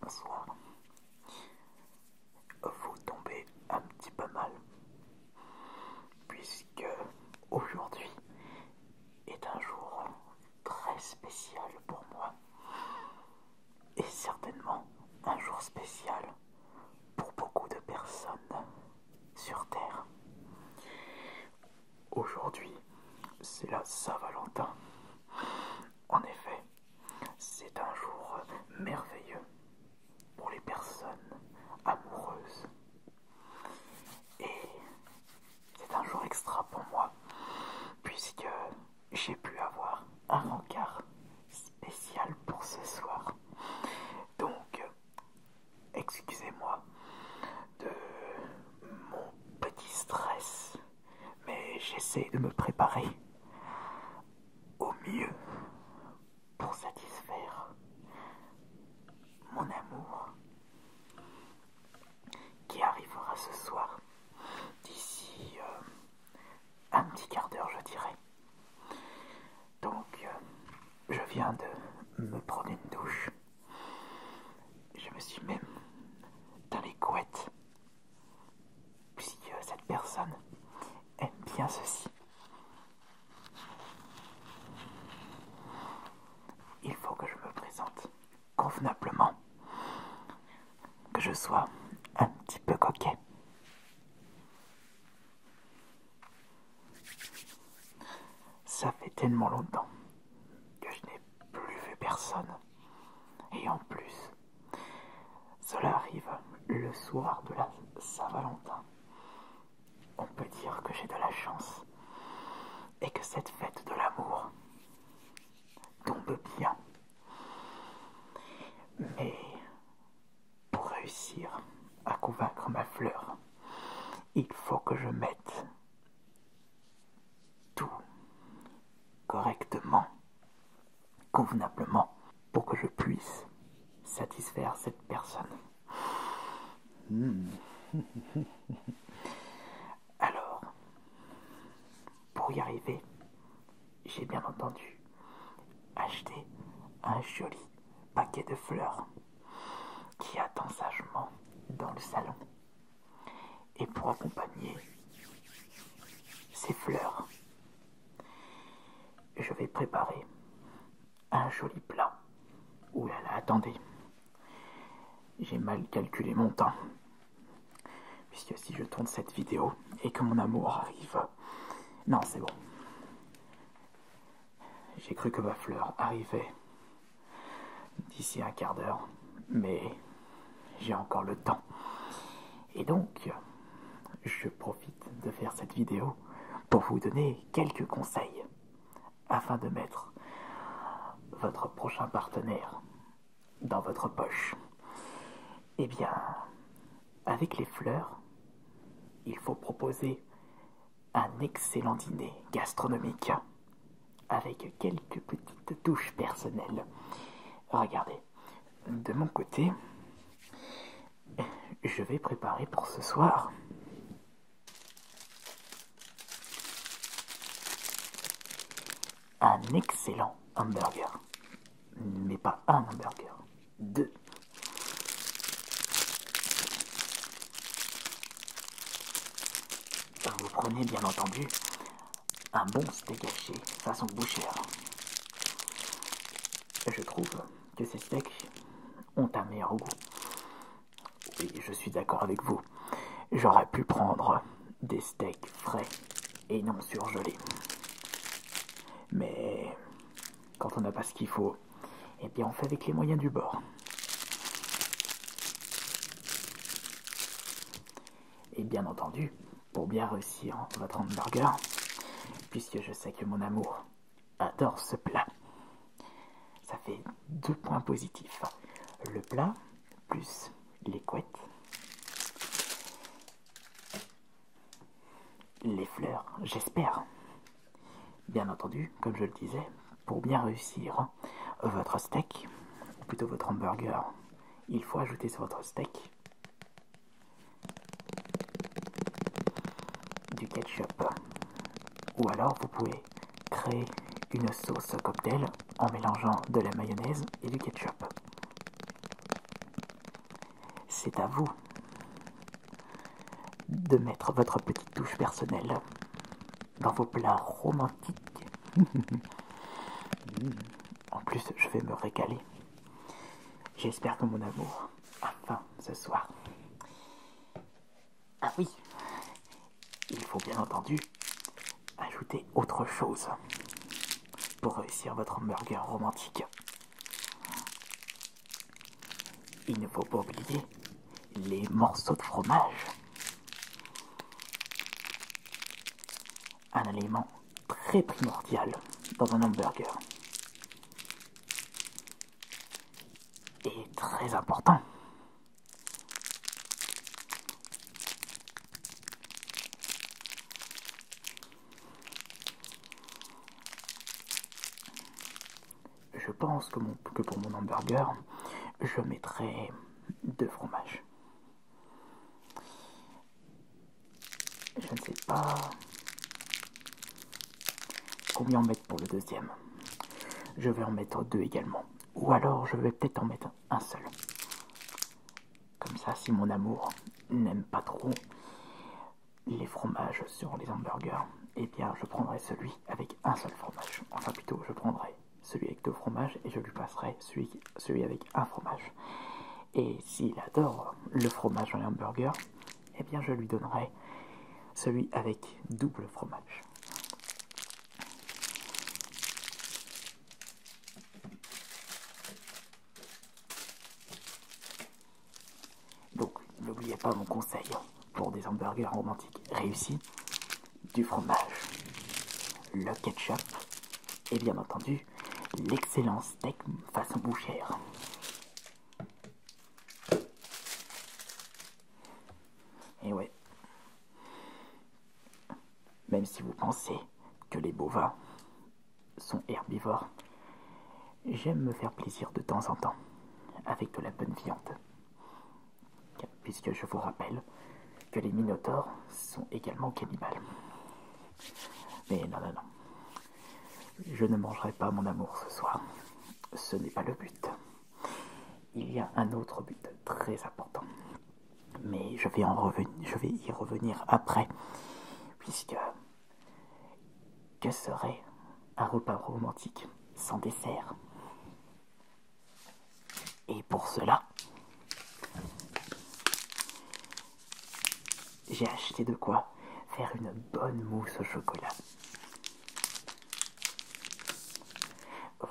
Bonsoir. Vous tombez un petit peu mal, puisque aujourd'hui est un jour très spécial pour moi et certainement un jour spécial pour beaucoup de personnes sur Terre. Aujourd'hui, c'est la Saint-Valentin. En effet, c'est un jour merveilleux pour les personnes amoureuses. Et c'est un jour extra pour moi, puisque j'ai pu avoir un rencard spécial pour ce soir. Donc, euh, excusez-moi de mon petit stress, mais j'essaie de me préparer au mieux pour satisfaire mon amour qui arrivera ce soir d'ici... Euh, un petit quart d'heure, je dirais. Donc, euh, je viens de me prendre une douche. Je me suis même dans les couettes, puisque euh, cette personne aime bien ceci. Il faut que je me présente convenablement que je sois un petit peu coquet. Ça fait tellement longtemps que je n'ai plus vu personne. Et en plus, cela arrive le soir de la Saint-Valentin. On peut dire que j'ai de la chance et que cette fête de l'amour tombe bien mais pour réussir à convaincre ma fleur, il faut que je mette tout correctement, convenablement, pour que je puisse satisfaire cette personne. Hmm. Alors, pour y arriver, j'ai bien entendu acheté un joli paquet de fleurs qui attend sagement dans le salon. Et pour accompagner ces fleurs, je vais préparer un joli plat. Ouh là là, attendez. J'ai mal calculé mon temps. Puisque si je tourne cette vidéo et que mon amour arrive... Non, c'est bon. J'ai cru que ma fleur arrivait d'ici un quart d'heure, mais j'ai encore le temps. Et donc, je profite de faire cette vidéo pour vous donner quelques conseils afin de mettre votre prochain partenaire dans votre poche. Eh bien, avec les fleurs, il faut proposer un excellent dîner gastronomique avec quelques petites touches personnelles. Regardez, de mon côté, je vais préparer pour ce soir un excellent hamburger. Mais pas un hamburger, deux. Vous prenez bien entendu un bon steak haché façon Boucher. Je trouve que ces steaks ont un meilleur goût. Oui, je suis d'accord avec vous. J'aurais pu prendre des steaks frais et non surgelés. Mais quand on n'a pas ce qu'il faut, et eh bien on fait avec les moyens du bord. Et bien entendu, pour bien réussir votre hamburger, puisque je sais que mon amour adore ce plat. Ça fait deux points positifs. Le plat plus les couettes, les fleurs, j'espère. Bien entendu, comme je le disais, pour bien réussir votre steak, ou plutôt votre hamburger, il faut ajouter sur votre steak du ketchup. Ou alors vous pouvez Créez une sauce cocktail en mélangeant de la mayonnaise et du ketchup. C'est à vous de mettre votre petite touche personnelle dans vos plats romantiques. en plus, je vais me régaler. J'espère que mon amour a ce soir. Ah oui, il faut bien entendu ajouter autre chose pour réussir votre hamburger romantique. Il ne faut pas oublier les morceaux de fromage. Un élément très primordial dans un hamburger. Et très important je pense que, pour mon hamburger, je mettrai deux fromages. Je ne sais pas combien en mettre pour le deuxième. Je vais en mettre deux également. Ou alors je vais peut-être en mettre un seul. Comme ça, si mon amour n'aime pas trop les fromages sur les hamburgers, eh bien je prendrai celui avec un seul fromage. Enfin plutôt, je prendrai celui avec deux fromages et je lui passerai celui, avec un fromage. Et s'il adore le fromage dans les hamburgers, eh bien je lui donnerai celui avec double fromage. Donc, n'oubliez pas mon conseil pour des hamburgers romantiques réussis du fromage, le ketchup et bien entendu l'excellent steak façon bouchère. Et ouais, même si vous pensez que les bovins sont herbivores, j'aime me faire plaisir de temps en temps avec de la bonne viande. Puisque je vous rappelle que les minotaures sont également cannibales. Mais non, non, non. Je ne mangerai pas mon amour ce soir. Ce n'est pas le but. Il y a un autre but très important, mais je vais, y revenir après, puisque que serait un repas romantique sans dessert Et pour cela, j'ai acheté de quoi faire une bonne mousse au chocolat.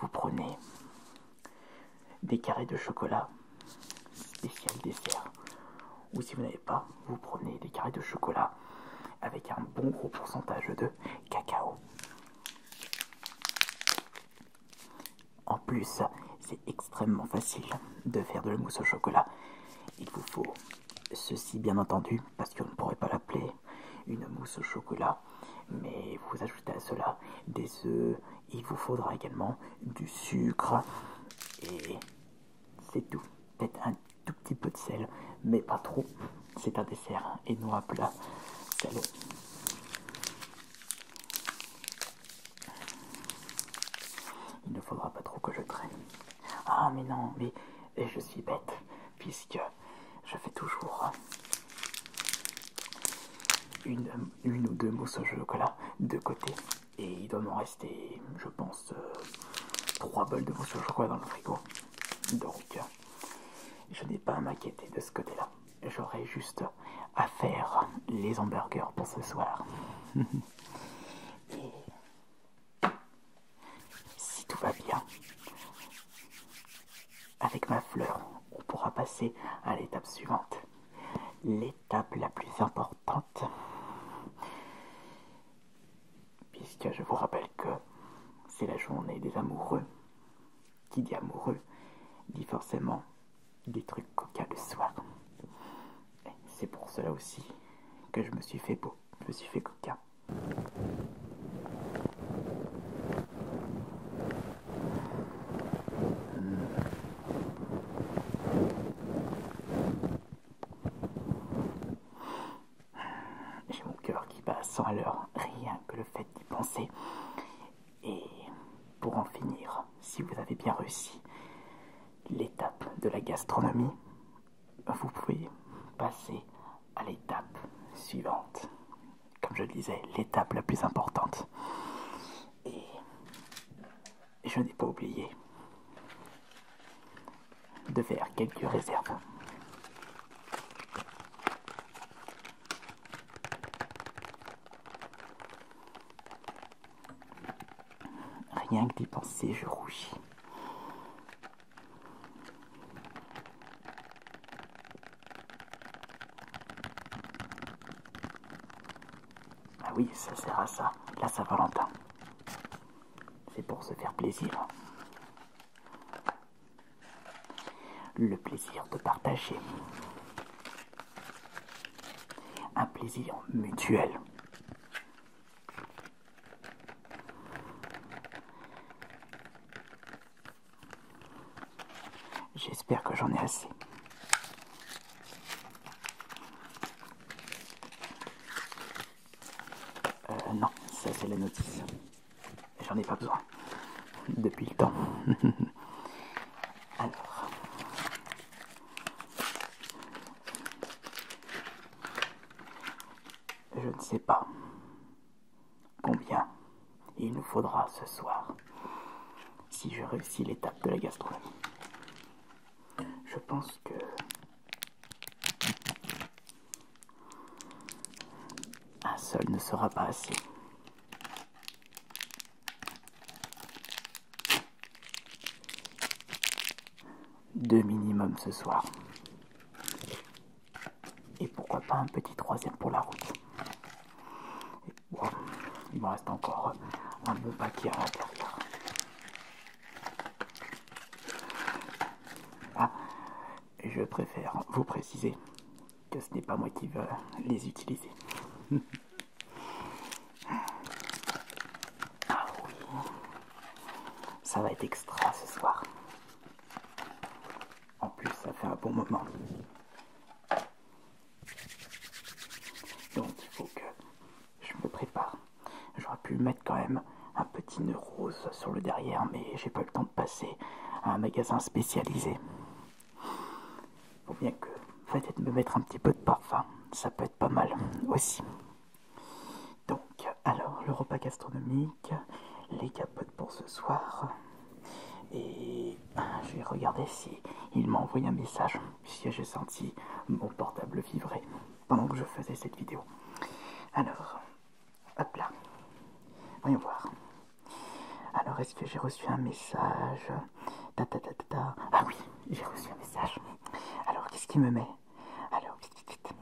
Vous prenez des carrés de chocolat spécial dessert. Ou si vous n'avez pas, vous prenez des carrés de chocolat avec un bon gros pourcentage de cacao. En plus, c'est extrêmement facile de faire de la mousse au chocolat. Il vous faut ceci bien entendu, parce qu'on ne pourrait pas l'appeler une mousse au chocolat mais vous ajoutez à cela des œufs, il vous faudra également du sucre et c'est tout. Peut-être un tout petit peu de sel, mais pas trop. C'est un dessert et non un plat Il ne faudra pas trop que je traîne. Ah mais non, mais je suis bête, puisque je fais toujours une, ou deux mousses au chocolat de côté. Et il doit m'en rester, je pense, euh, trois bols de mousse au chocolat dans le frigo. Donc, je n'ai pas à m'inquiéter de ce côté-là. J'aurai juste à faire les hamburgers pour ce soir. Si tout va bien, avec ma fleur, on pourra passer à l'étape suivante. L'étape la plus importante. Puisque je vous rappelle que c'est la journée des amoureux. Qui dit amoureux dit forcément des trucs coca le soir. C'est pour cela aussi que je me suis fait beau, je me suis fait coquin. J'ai mon cœur qui bat sans alors rien que le fait d'y penser. Et pour en finir, si vous avez bien réussi l'étape de la gastronomie, vous pouvez passer à l'étape suivante. Comme je le disais, l'étape la plus importante. Et je n'ai pas oublié de faire quelques réserves. Rien que d'y penser, je rougis. Ah oui, ça sert à ça, la Saint-Valentin. C'est pour se faire plaisir. Le plaisir de partager. Un plaisir mutuel. J'espère que j'en ai assez. Euh, non, ça c'est la notice. J'en ai pas besoin. Depuis le temps. Je ne sais pas combien il nous faudra ce soir si je réussis l'étape de la gastronomie. Je pense que un seul ne sera pas assez deux minimum ce soir. Et pourquoi pas un petit troisième pour la route. il me reste encore un bon paquet à l'intérieur. Ah, je préfère vous préciser que ce n'est pas moi qui veux les utiliser. Ah ça va être extra ce soir. En plus, ça fait un bon moment. Donc, il faut que je me prépare. J'aurais pu mettre quand même un petit nœud rose sur le derrière, mais j'ai pas le temps de passer à un magasin spécialisé. Faut bien que peut-être me mettre un petit peu de parfum, ça peut être pas mal aussi. Donc, alors, le repas gastronomique, les capotes pour ce soir. Et hein, je vais regarder si il m'a envoyé un message, si j'ai senti mon portable vibrer pendant que je faisais cette vidéo. Alors, hop là, voyons voir. Alors, est-ce que j'ai reçu un message Ah oui, j'ai reçu un message. Alors, qu'est-ce qui me met alors, vite, vite, vite.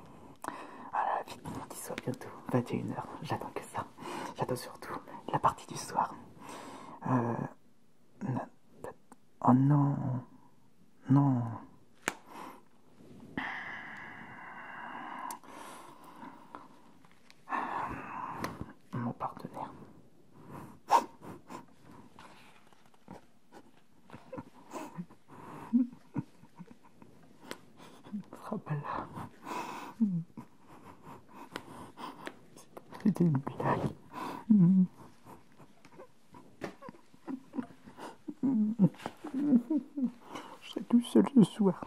Voilà, vite, mon soir bientôt 21h. J'attends que ça. J'attends surtout la partie du soir. Euh... Oh non. Non. Mon partenaire sera là. C'était une blague. Je tout seul ce soir.